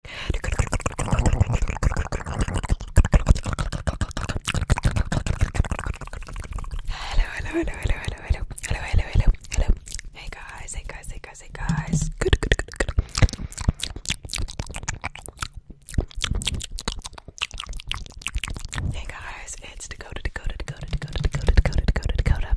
hello, hello, hello, hello, hello, hello, hello, hello, hello. Hey guys, hey guys, hey guys, hey guys. Good, good, good, good. Hey guys, it's Dakota, Dakota, Dakota, Dakota, Dakota, Dakota, Dakota, Dakota.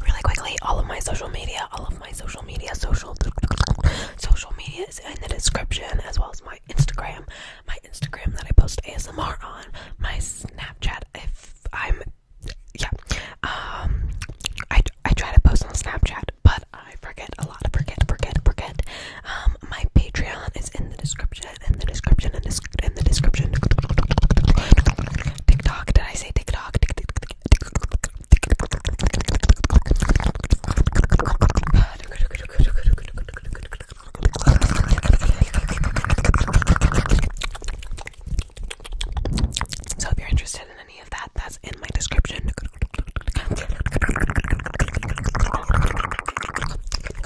Really quickly, all of my social media, all of my social media, social social media is in the description, as well as my Instagram, my Instagram that I post ASMR on, my Snapchat. If I'm, yeah, um, I I try to post on Snapchat, but I forget a lot, forget, forget, forget. Um, um, my Patreon is in the description, in the description, in the, in the description. TikTok, did I say TikTok? So if you're interested in any of that, that's in my description.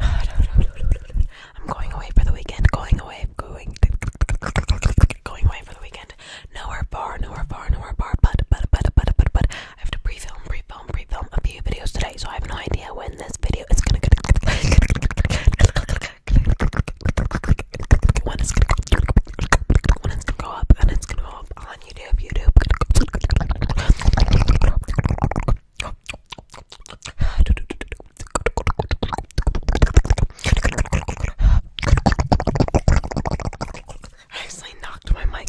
I'm going away for the weekend. Going away. Going. Going away for the weekend. Nowhere bar. Nowhere bar. Nowhere bar. But but but but but but I have to pre-film, pre-film, pre-film a few videos today, so I have no idea when this video is gonna. When it's gonna, when it's gonna go up, and it's gonna go up. All I on YouTube, YouTube. I actually knocked my mic.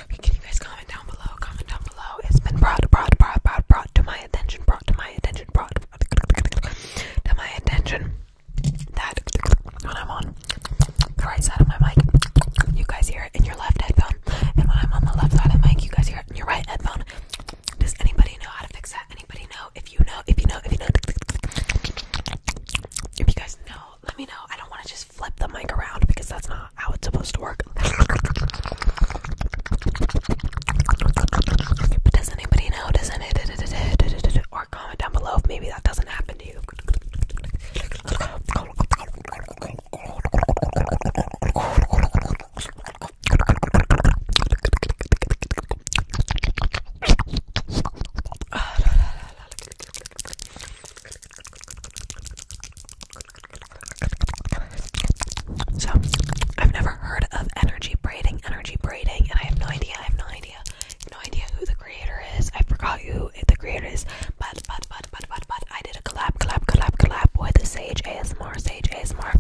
Can you guys comment down below? Comment down below. It's been brought, brought, brought, brought, brought to my attention, brought to my attention, brought to my attention that when I'm on the right side of my mic, you guys hear it in your left headphone, and when I'm on the left side of my mic, you guys hear it in your right headphone. Does anybody know how to fix that? Anybody know? If you know, if you know, if you know, if you guys know, let me know. I don't want to just flip the mic around because that's not how it's supposed to work. But does anybody know? Does anybody or comment down below if maybe that doesn't happen to you? So, I've never heard of energy braiding, energy braiding, and I have no idea, I have no idea, have no idea who the creator is. I forgot who the creator is, but, but, but, but, but, but, I did a collab, collab, collab, collab with Sage ASMR, Sage ASMR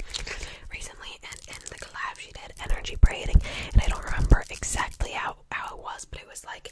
recently, and in the collab she did energy braiding, and I don't remember exactly how, how it was, but it was like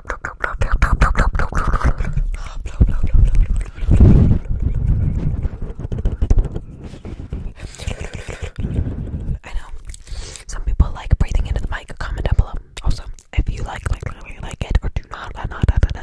I know some people like breathing into the mic. Comment down below. Also, if you like, like, really like it, or do not, not, not, not, not, not.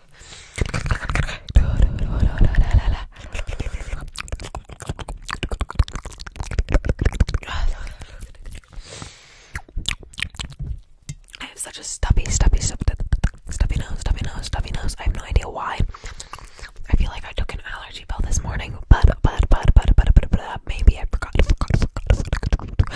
I have such a stubby, stubby, stubby, stubby nose, stubby nose, stubby nose. I have no idea why. I feel like I took an allergy pill this morning, but, but, but, but, but, but, but maybe I forgot. forgot, forgot, forgot, forgot.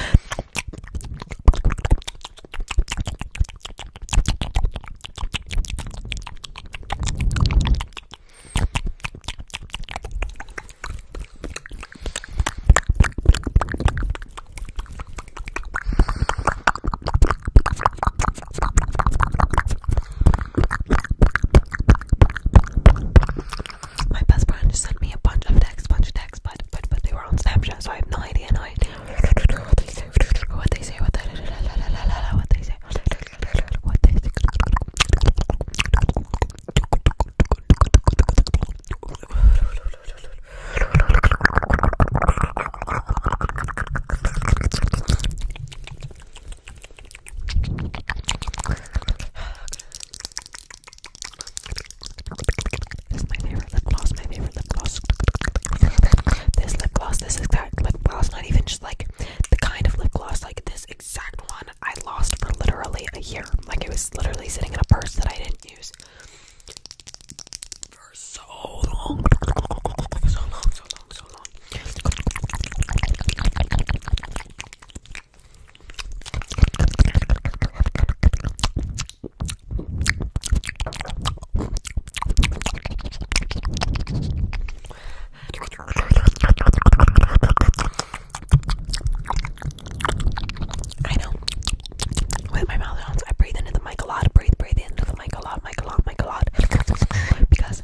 My best friend just sent me a bunch of texts, bunch of texts but but but they were on Snapchat, so I have no idea. No idea what they say. What they say. What they say. What they say. What they say. This is my favorite lip gloss, my favorite lip gloss. This lip gloss, this exact lip gloss, not even just like the kind of lip gloss, like this exact one I lost for literally a year. Like it was literally sitting in a purse that I didn't use for so long. So long, so long, so long. I know. With my mouth sounds, I breathe into the mic a lot. Breathe, breathe into the mic a lot, mic a lot, mic a lot. Because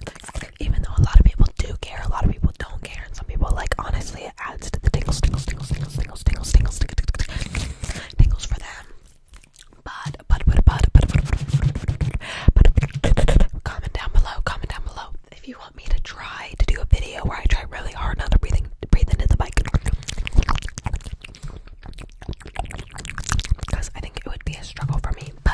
even though a lot of people do care, a lot of people don't care, and some people like honestly tingles, for them. But, but, but, but, but, but, comment down below, comment down below if you want me to try to do a video where I try really hard not to breathe in, into the mic. Because I think it would be a struggle for me, but.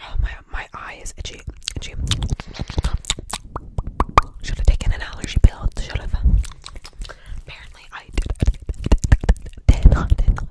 Oh my my eye is itchy. Itchy. Should have taken an allergy pill. Should have. Apparently I did, did not. Did not.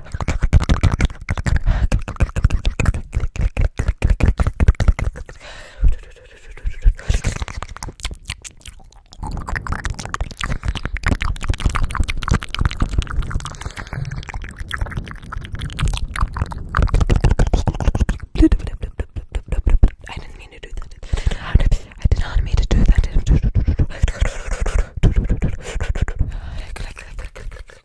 I didn't mean to do that. I did not mean to do that.